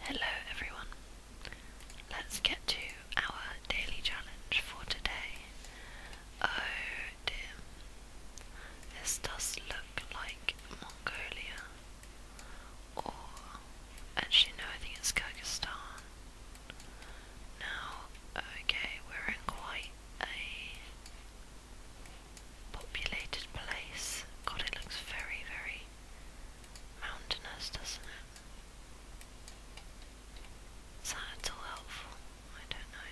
Hello everyone. Let's get to our daily challenge for today. Oh dear. This does look like Mongolia. Or actually no, I think it's Kyrgyzstan. Now, okay, we're in quite a populated place. God, it looks very, very mountainous, doesn't it? Is that at all helpful? I don't know.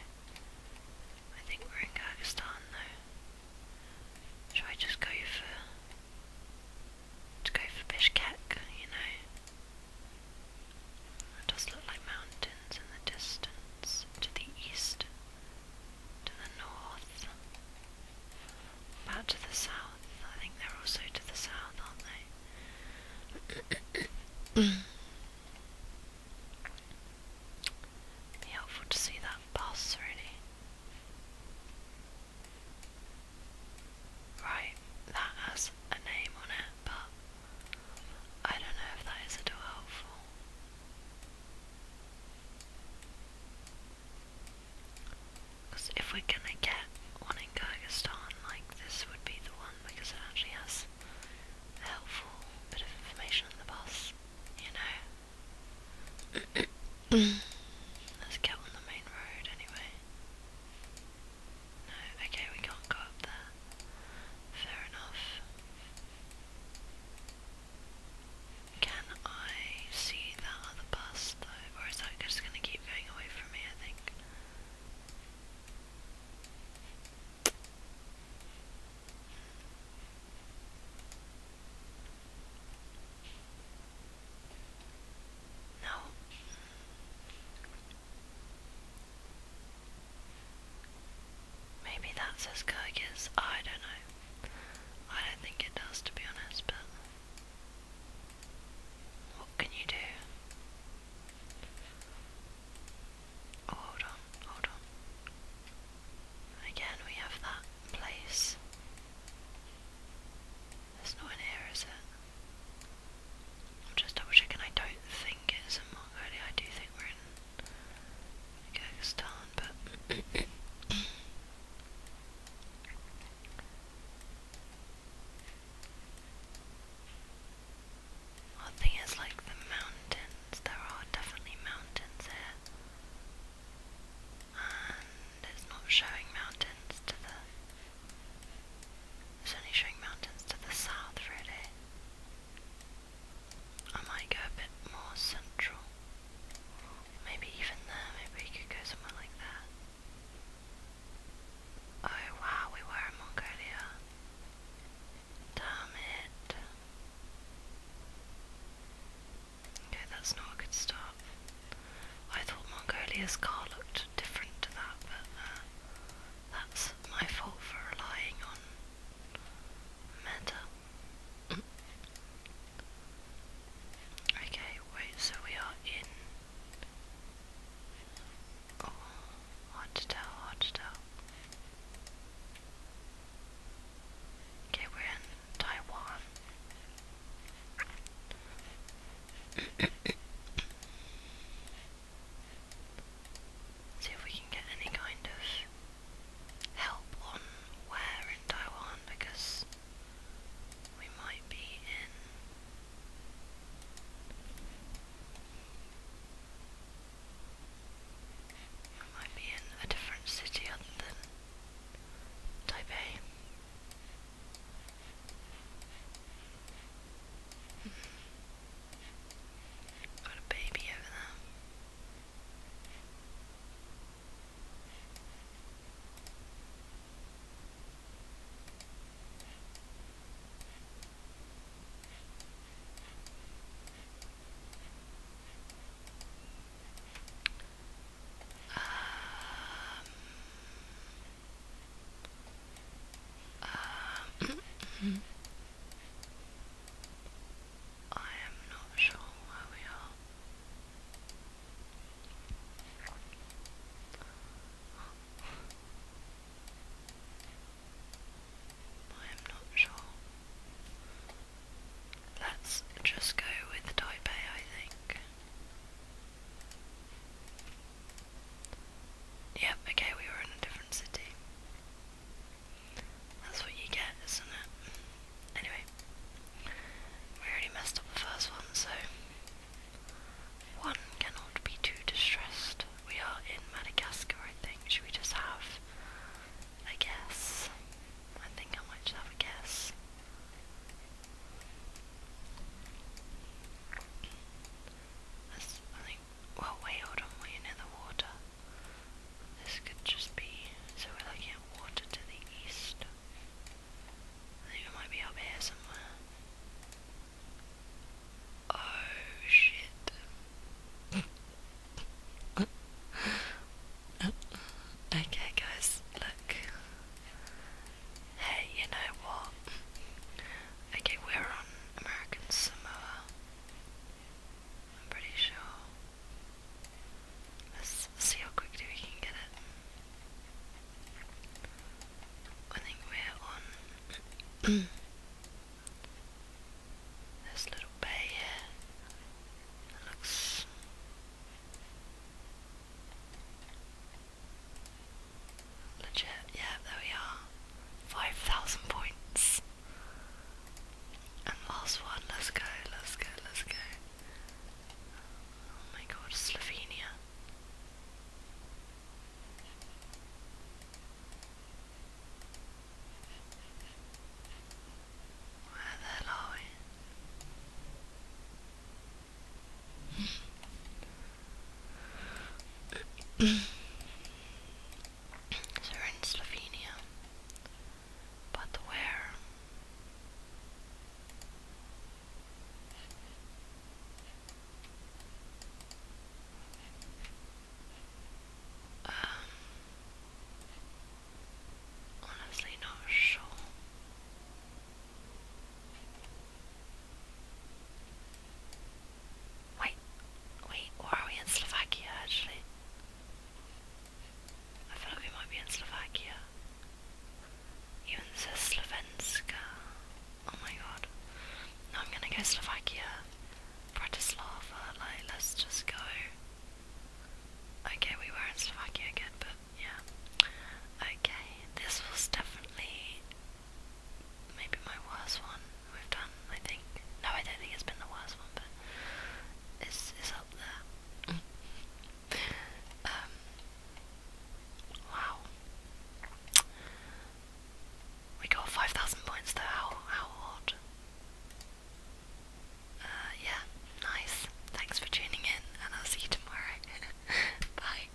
I think we're in Kyrgyzstan though. Should I just go for to go for Bishkek, you know? It does look like mountains in the distance to the east to the north, about to the south. I think they're also to the south, aren't they? Be helpful to see that bus, really. Right, that has a name on it, but I don't know if that is at all helpful if we're gonna get one in Kyrgyzstan, like this would be the one because it actually has a helpful bit of information on the bus, you know. Let's get on the main road anyway. No, okay, we can't go up there. Fair enough. Can I see that other bus though? Or is that just going to keep going away from me, I think? No. Maybe that's as good as I don't know. I don't think it does, to be honest, but what can you do? Oh, hold on, hold on. Again, we have that place. It's not in here, is it? just double checking. I don't think it's in Mongolia. I do think we're in Kyrgyzstan, but Well, the thing is, like the mountains, there are definitely mountains here. And it's not showing mountains to the. It's only showing mountains to the south, really. I might go a bit more central. Maybe even there, maybe we could go somewhere like that. Oh wow, we were in Mongolia. Damn it. Okay, that's not a good start. I thought Mongolia's car looked different to that, but uh, that's my fault for relying on matter. okay, wait, so we are in. Oh, hard to tell, hard to tell. Okay, we're in Taiwan. See if we can get any kind of help on where in Taiwan because we might be in we might be in a different city other than Taipei. Hmm. Got a baby over there. Um, um, mm-hmm. I am not sure where we are. I am not sure. Let's just go with Taipei, I think. Yep, okay, we were in a different city. That's what you get, isn't it? Anyway, we already messed up the first one, so one cannot be too distressed. We are in Madagascar, I think. Should we just have a guess? I think I might have a guess. I think well wait, hold on, we're near the water. This could just be, so we're looking at water to the east. I think it might be up here somewhere. Oh shit. okay guys, look. Hey, you know what? Okay, we're on American Samoa. I'm pretty sure. Let's see how quickly we can get it. I think we're on this little bay here. It looks Legit, yeah, there we are. 5,000 points. And last one, let's go, let's go, let's go. Oh my god, Slovenia. Where the hell are we? so we're in Slovenia, but where? Um, honestly, not sure. Wait, wait, or are we in Slovakia actually? I feel like we might be in Slovakia. Even says Slovenska. Oh my god. I'm gonna go Slovakia. Bratislava, like, let's just go. Okay, we were in Slovakia again, but yeah. Okay, this was definitely maybe my worst one we've done, I think. No, I don't think it's been the worst one, but it's, it's up there. Mm. Um, wow. We got 5,000 points though, how, how odd. Uh, yeah, nice. Thanks for tuning in, and I'll see you tomorrow. Bye.